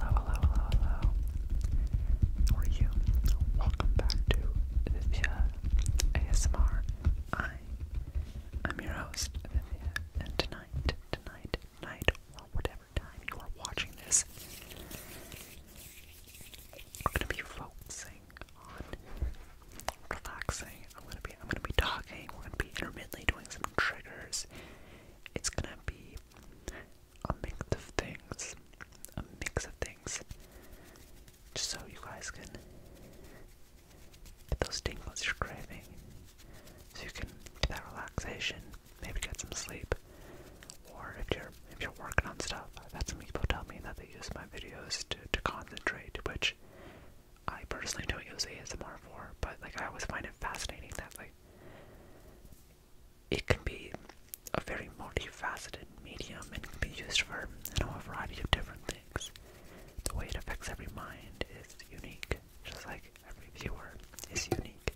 Hello, hello, hello, hello. How you? Welcome back to Vivia ASMR. I am your host, Vivia, and tonight, tonight, tonight, or whatever time you are watching this, we're gonna be focusing on relaxing. I'm gonna be I'm gonna be talking, we're gonna be intermittently doing some triggers. It's gonna be a mix of things, a mix of things, just so you guys can get those tingles you're craving, so you can get that relaxation, maybe get some sleep, or if you're if you're working on stuff, I've had some people tell me that they use my videos to to concentrate, which I personally don't use ASMR for, but like I always find it fascinating that like it can be a very multifaceted medium and can be used for a variety of different things. The way it affects every mind is unique, just like every viewer is unique.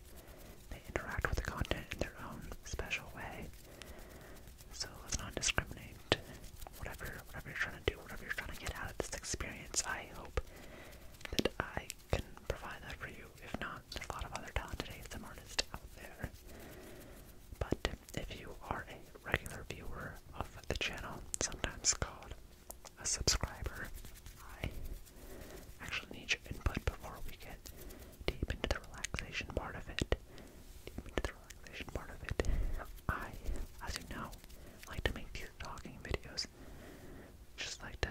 They interact with the content in their own special way. So let's not discriminate. Whatever whatever you're trying to do, whatever you're trying to get out of this experience, I hope that I can provide that for you. If not, a lot of other talented ASM artists out there. But if you are a regular viewer of the channel, sometimes called a subscriber, I actually need your input before we get deep into the relaxation part of it. Deep into the relaxation part of it. I, as you know, like to make these talking videos. Just like to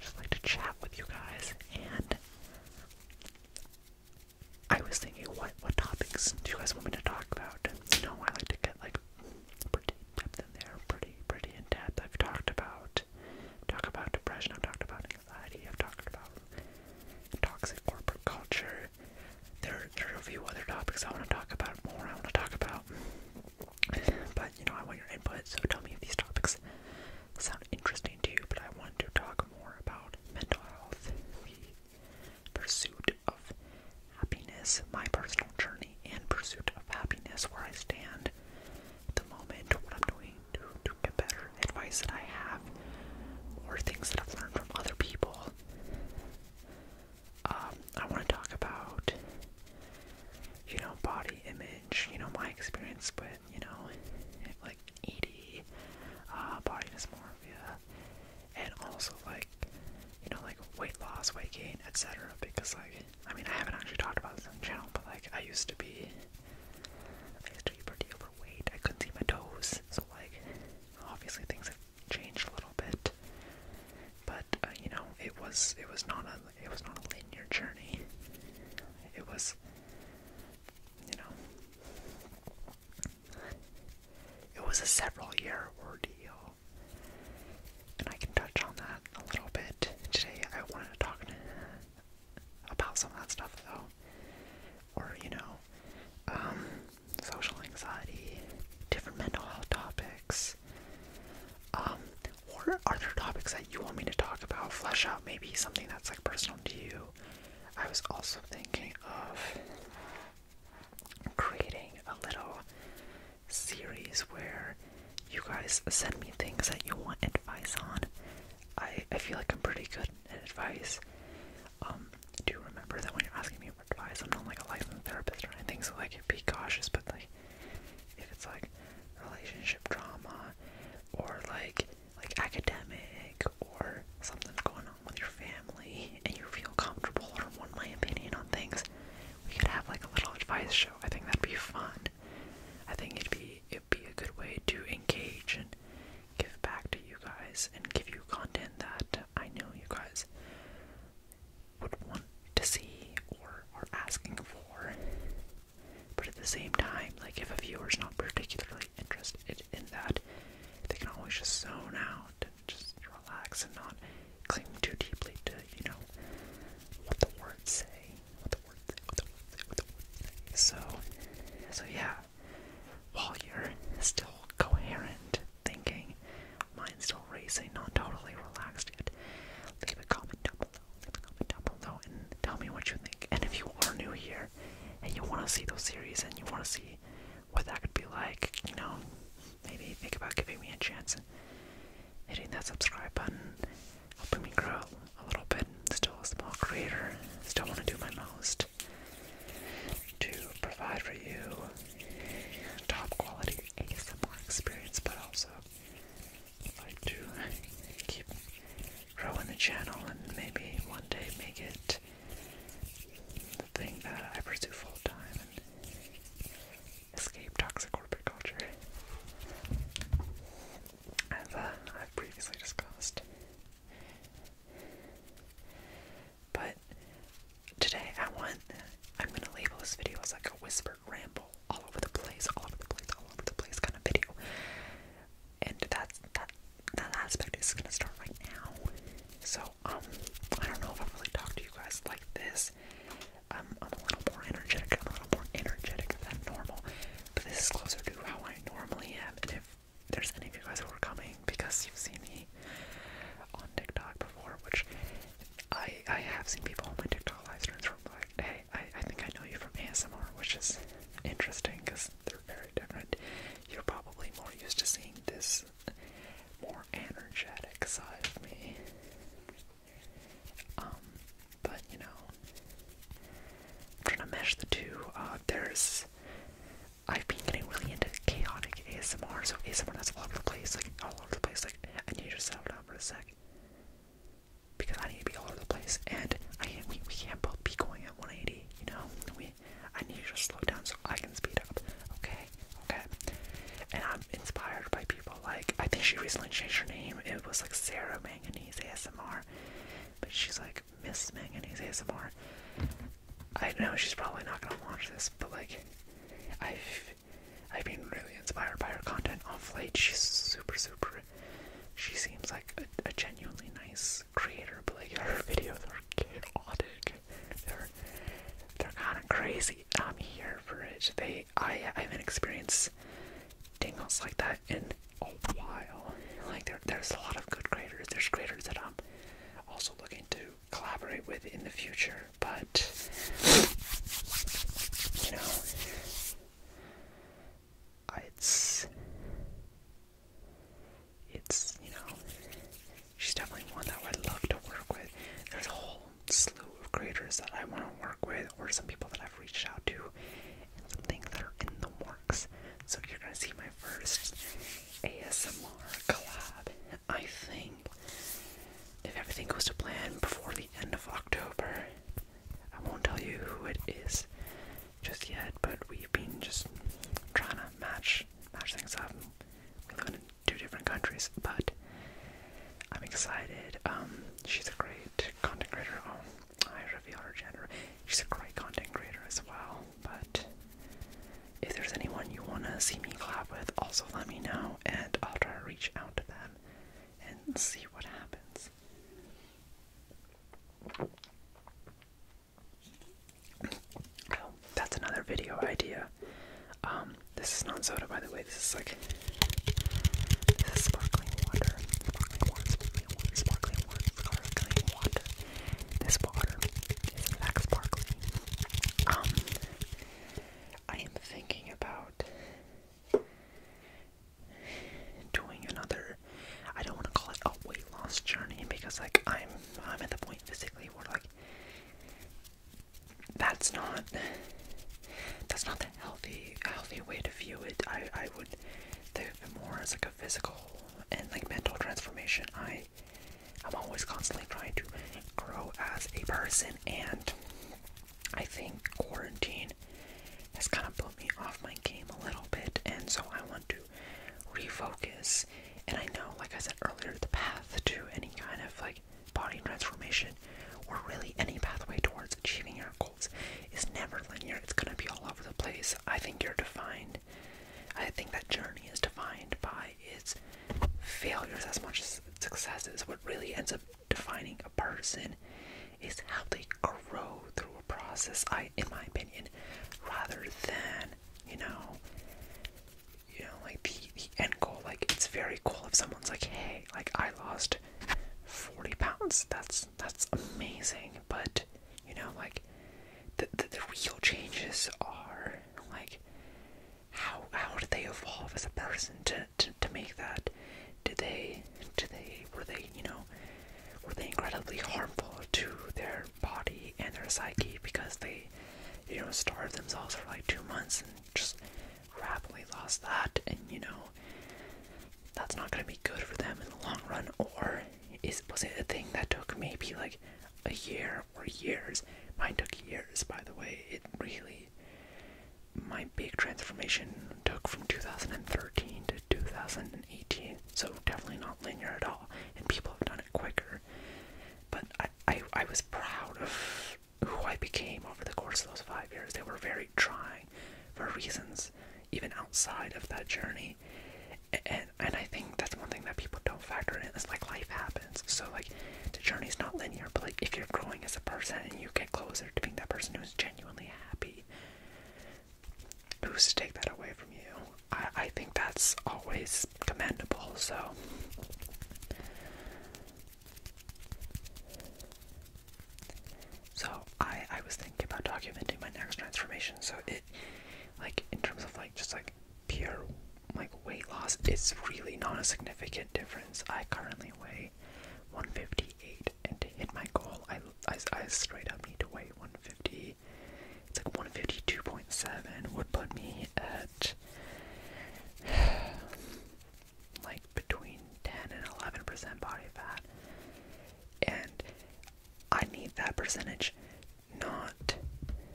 just like to chat with you guys, and I was thinking, what what topics do you guys want me to talk about? You know, I like to get like pretty in depth in there, pretty pretty in depth. I've talked about talk about depression. I've talked about anxiety. I've talked about toxic corporate culture. There, there are a few other topics I want to talk about more. I want to talk about but you know, I want your input, so tell me if these topics sound interesting to you. But I want to talk more about mental health, the pursuit of happiness, my personal journey and pursuit of happiness, where I stand the moment, what I'm doing to, to get better, advice that I have, or things that I've learned from other people. Um, I want to talk about you know, body image, you know, my experience with, you know, like ED, uh, body dysmorphia, and also like, you know, like weight loss, weight gain, etc. Because, like, I mean, I haven't actually talked about this on the channel, but like, I used to be, I used to be pretty overweight. I couldn't see my toes, so like, obviously things have changed a little bit. But uh, you know, it was it was not a it was not a linear journey. It was, you know, it was a several year ordeal, and I can touch on that a little bit today. I wanted to talk about some of that stuff though, or you know, um, social anxiety, different mental health topics. Um, or are there topics that you want me to talk about? Flesh out maybe something that's like personal to you. I was also thinking of creating a little series where you guys send me things that you want advice on. I, I feel like I'm pretty good at advice. Um, do remember that when you're asking me for advice, I'm not like a licensed therapist or anything, so like be cautious, but like if it's like relationship drama or like like academic or something's going on with your family and you feel comfortable or want my opinion on things, we could have like a little advice show. I think that'd be fun. I think it'd be it'd be a good way to engage and give back to you guys and give you content that I know you guys would want to see or are asking for. But at the same time, like if a viewer's not particularly interested in that, they can always just zone out and just relax and not cling too deeply to, you know, what the words say. What the words say, what the words say, what the words say. So so yeah. While you're still coherent thinking, mind's still still racing, not totally relaxed yet, leave a comment down below. comment down below and tell me what you think. And if you are new here and you want to see those series and you want to see what that could be like, you know, maybe think about giving me a chance and hitting that subscribe button, helping me grow a little bit. Still a small creator, still want to do my most to provide for you top quality ASMR experience, but also like to keep growing the channel and maybe one day make it the thing that I pursue full time and escape toxic corporate culture. As uh, I've previously discussed. But today I want, I'm going to label this video as like a whispered ramble all over the place, all over the place, all over the place kind of video. And that that that aspect is gonna start right now. So um I don't know if I really talk to you guys like this. Um I'm a little more energetic, I'm a little more energetic than normal. But this is closer to how I normally am and if there's any of you guys who are coming because you've seen me on TikTok before, which I I have seen people on my TikTok lives. streams hey, I, I think I know you from ASMR, which is interesting because they're very different. You're probably more used to seeing this more energetic side of me. Um, but you know, I'm trying to mesh the two. Uh, there's, I've been getting really into chaotic ASMR, so ASMR has all over the place, like all over the place, like, I need to settle down for a sec because I need to be all over the place, and I we we can't both be going at 180. You know, we I need to just slow down so I can speed up. Okay, okay. And I'm inspired by people like I think she recently changed her name. It was like Sarah Manganese ASMR, but she's like Miss Manganese ASMR. I know she's probably not gonna watch this, but like, I've I've been really inspired by her content off late. She's super, super. She seems like a, genuinely nice creator, but like her videos are chaotic. They're they're kind of crazy. I'm here for it. They I I haven't experienced dingles like that in a while. Like there there's a lot of good creators. There's creators that I'm also looking to collaborate with in the future but you know, it's it's you know, she's definitely one that I would love to work with. There's a whole slew of creators that I want to work with, or some people that I've reached out to, and some things that are in the works. So you're gonna see my first ASMR collab, I think if everything goes to plan before the end of October, I won't tell you who it is just yet, but we've been just trying to match match things up. We live in two different countries, but I'm excited. Um, she's a great content creator. Oh, I reveal her gender. She's a great content creator as well. But if there's anyone you wanna see me collab with, also let me know, and I'll try to reach out to them and see what happens. Oh, that's another video idea. Um, this is not soda, by the way. This is like sparkling water, This water is in sparkling. Um, I am thinking about doing another I don't want to call it a weight loss journey because like I'm I'm at the point physically where like that's not that's not the healthy healthy way to view it. I I would think of it more as like a physical and like mental transformation. I I'm always constantly trying to grow as a person and I think quarantine has kind of put me off my game a little bit, and so I want to refocus. And I know, like I said earlier, the path to any kind of like body transformation or really any pathway towards achieving your goals is never linear. It's going to be all over the place. I think you're defined, I think that journey is defined by its failures as much as success is. What really ends up defining a person is how they grow through a process, I in my opinion, rather than, you know, you know, like the, the end goal. Like it's very cool if someone's like, hey, like I lost 40 pounds. That's that's amazing. But, you know, like the the, real changes are like how how do they evolve as a person to to, to make that? Did they? Did they? Were they? You know, were they incredibly harmful to their body and their psyche because they, you know, starved themselves for like two months and just rapidly lost that? And you know, that's not going to be good for them in the long run. Or is was it a thing that took maybe like a year or years? Mine took years, by the way. It really my big transformation took from 2013 to 2018, so definitely not linear at all. And people have done it quicker, but I, I, I was proud of who I became over the course of those five years. They were very trying for reasons even outside of that journey. And and I think that's one thing that people don't factor in It's like life happens. So like the journey is not linear, but like if you're growing as a person and you get closer to being that person who's genuinely happy, who's to take that away from you? I, I think that's always commendable, so. So I I was thinking about documenting my next transformation. So it like in terms of like just like pure like weight loss, it's really not a significant difference. I currently weigh 158, and to hit my goal, I, I, I straight up need to weigh 150. It's like 152.7 would put me at like between 10 and 11% body fat. And I need that percentage not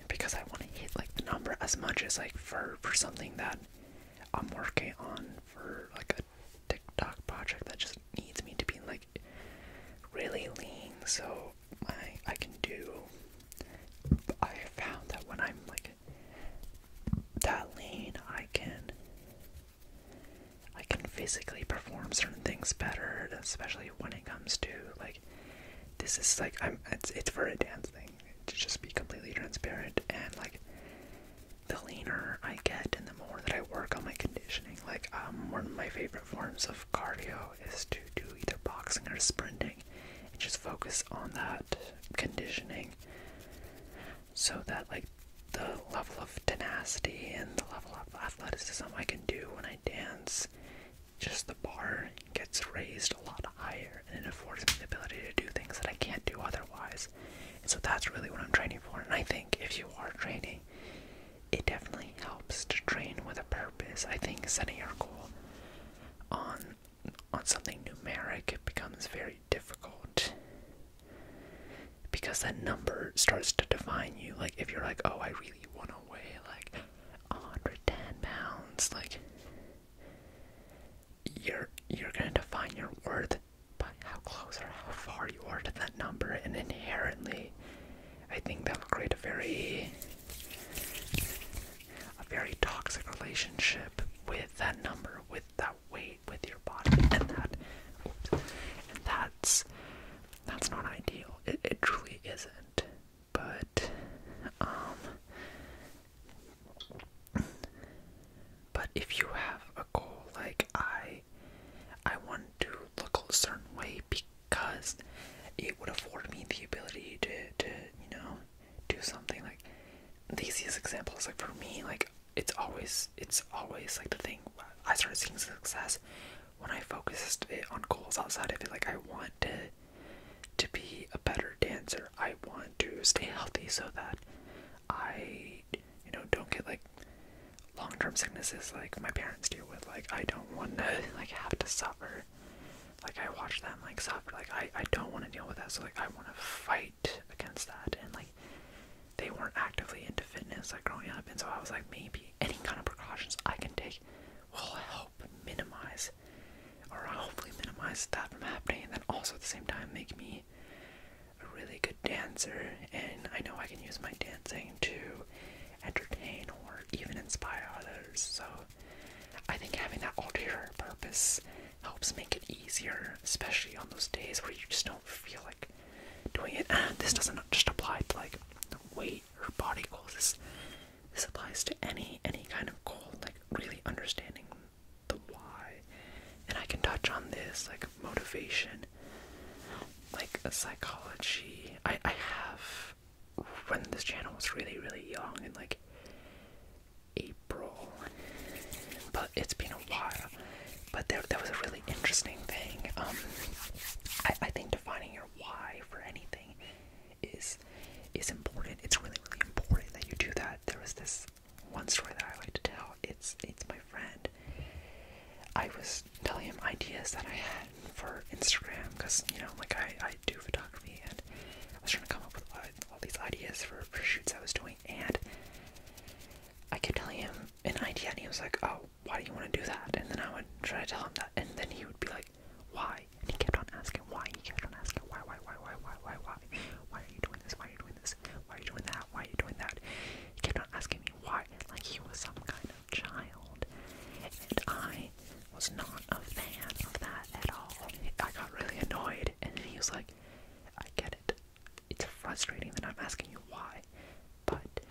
because I want to hit like the number as much as like for for something that I'm working on for like a TikTok project that just needs me to be like really lean so I I can do I found that when I'm like that lean I can I can physically perform certain things better, especially when it comes to like this is like I'm it's it's for a dance thing to just be completely transparent and like the leaner I get and the more that I work on my conditioning. Like, um, one of my favorite forms of cardio is to do either boxing or sprinting and just focus on that conditioning so that, like, the level of tenacity and the level of athleticism I can do when I dance, just the bar gets raised a lot higher and it affords me the ability to do things that I can't do otherwise so that's really what I'm training for. And I think if you are training, it definitely helps to train with a purpose. I think setting your goal on on something numeric it becomes very difficult because that number starts to define you. Like if you're like, oh, I really want to weigh like 110 pounds, like you're you're going to define your worth by how close or how far you are to that number, and inherently, I think that will create a very a very toxic relationship with that number, with that weight, with your body, and that and that's that's not ideal. It it truly isn't. But um, but if you have a goal like I I want to look a certain way because it would afford me the ability to, to you know, do something like these easiest examples like for me, like it's always it's always like the thing I started seeing success when I focused it on goals outside of it. Like I want to to be a better dancer. I want to stay healthy so that I, you know, don't get like long term sicknesses like my parents deal with. Like, I don't want to like have to suffer. Like, I watch them like suffer. Like, I, I don't want to deal with that. So, like, I want to fight against that. And like, they weren't actively into fitness like growing up. And so I was like, maybe any kind of precautions I can take will help minimize or hopefully minimize that from happening. And then also at the same time, make me me a really good dancer, and I know I can use my dancing to entertain or even inspire others. So I think having that ulterior purpose helps make it easier, especially on those days where you just don't feel like doing it. And this doesn't just apply to like weight or body goals. This, this applies to any any kind of goal. Like really understanding the why. And I can touch on this, like motivation, like a psychology. I, I have, when this channel was really, really young, in like April, but it's been a while. But there, there was a really interesting thing. Um, I, I think defining your why for anything is is important. It's really, really important that you do that. There was this one story that I like to tell. It's it's my friend. I was telling him ideas that I had for Instagram because you know, like I I do photography and I was trying to come up with all, all these ideas for, for shoots I was doing, and I kept telling him an idea, and he was like, "Oh, why do you want to do that?" And then I would try to tell him that, and then he would be like, "Why?" And he kept on asking why. He kept on asking why, why, why, why, why, why, why, why are you doing this? why are you doing this? Why are you doing that? Why are you doing that? He kept on asking me why, like he was some kind of child. And I was not a fan of that at all. I got really annoyed, and then he was like, I get it. It's frustrating that I'm asking you why. But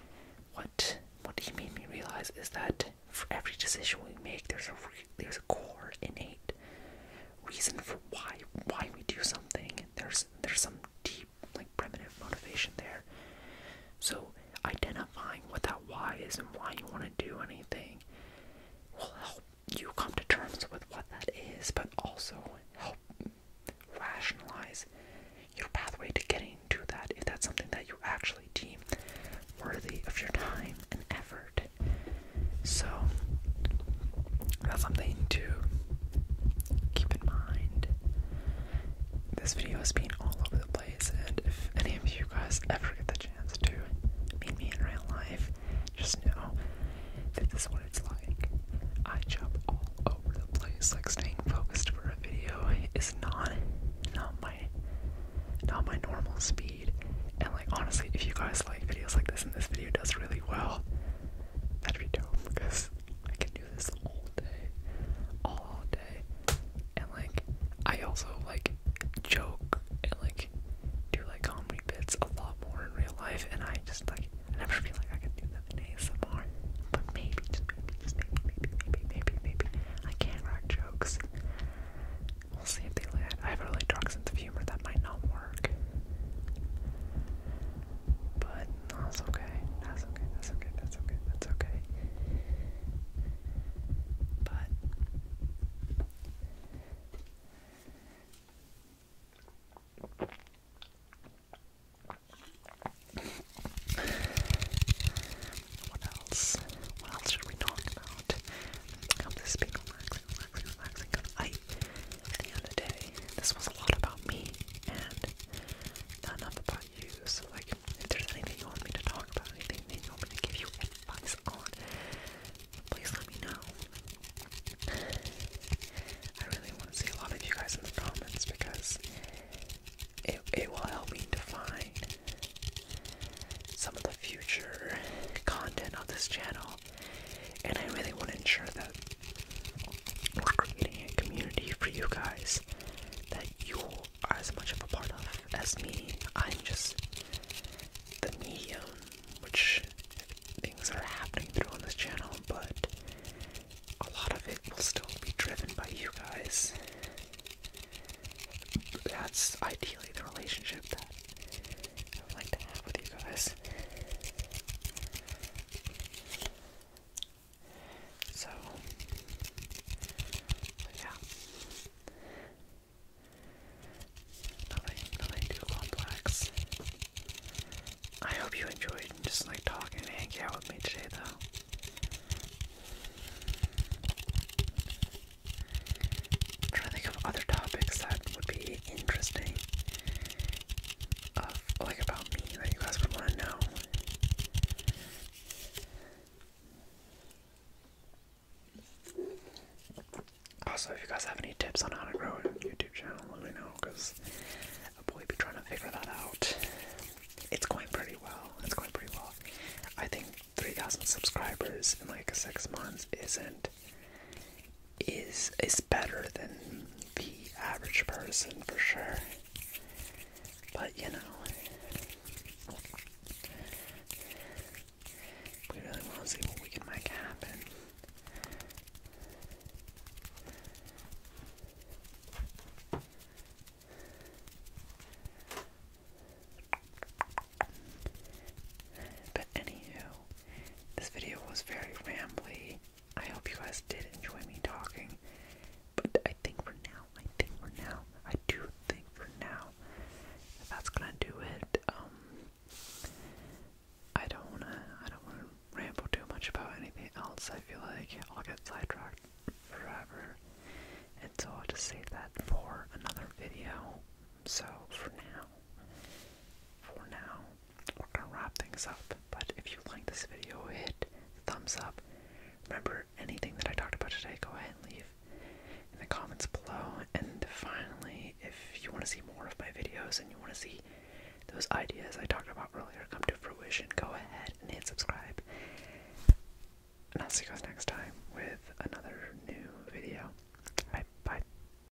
what what he made me realize is that for every decision we make, there's a there's a core innate reason for why why we do something. There's there's some deep like primitive motivation there. So identifying what that why is and why you want to do anything will help you come to terms with what that is, but also help rationalize your pathway to getting to that if that's something that you actually deem worthy of your time and effort hard. So that's something to keep in mind. This video has been all over the place, and if any of you guys ever get the chance to meet me in real life, just know that this is what it's like. I jump all over the place. Like staying focused for a video is not not my not my normal speed. And like honestly, if you guys like videos like this and this video does really well, That'd be dope because I can do this all day, all, all day, and like I also like joke and like do like comedy bits a lot more in real life, and I just like I never feel like I can do them in ASMR, but maybe just maybe just maybe maybe maybe maybe maybe I can write jokes. We'll see if they land. I have a really dark sense of humor that might not work. But no, that's okay. That's okay. That's okay. That's okay. That's okay. But what else? What else should we talk about? Come to speak on accident relaxing, relaxing, I, day, this was a lot about me and not enough about you. So, like, if there's anything you want me to talk about, anything you want me to give you advice on, please let me know. I really want to see a lot of you guys in the comments because it, it will help me define some of the future content of this channel and I really want to ensure that we're creating a community for you guys that you are as much of a part of as me. I'm just the medium which things are happening through on this channel, but a lot of it will still be driven by you guys. That's ideally the relationship that I like to have with you guys. So, yeah. Nothing, nothing too complex. I hope you enjoyed just like talking and hanging out with me today, though i to think of other topics that would be interesting, of like about me that you guys would want to know. Also, if you guys have any tips on how to grow a YouTube channel, let me know because I'll probably be trying to figure that out. It's going pretty well. It's going pretty well. I think 3,000 subscribers in like six months isn't is is better than the average person for sure. But you know, we really want to see what we can make happen. But anywho, this video was very rambly. I hope you guys did enjoy me talking. But I think for now, I think for now, I do think for now, that's gonna do it. Um, I don't wanna, I don't wanna ramble too much about anything else. I feel like I'll get sidetracked forever, and so I'll just save that for another video. So for now, for now, we're gonna wrap things up. But if you like this video, hit thumbs up. Remember anything that I talked about today, go ahead and leave in the comments below. And finally, if you want to see more of my videos and you want to see those ideas I talked about earlier come to fruition, go ahead and hit subscribe. And I'll see you guys next time with another new video. Bye bye.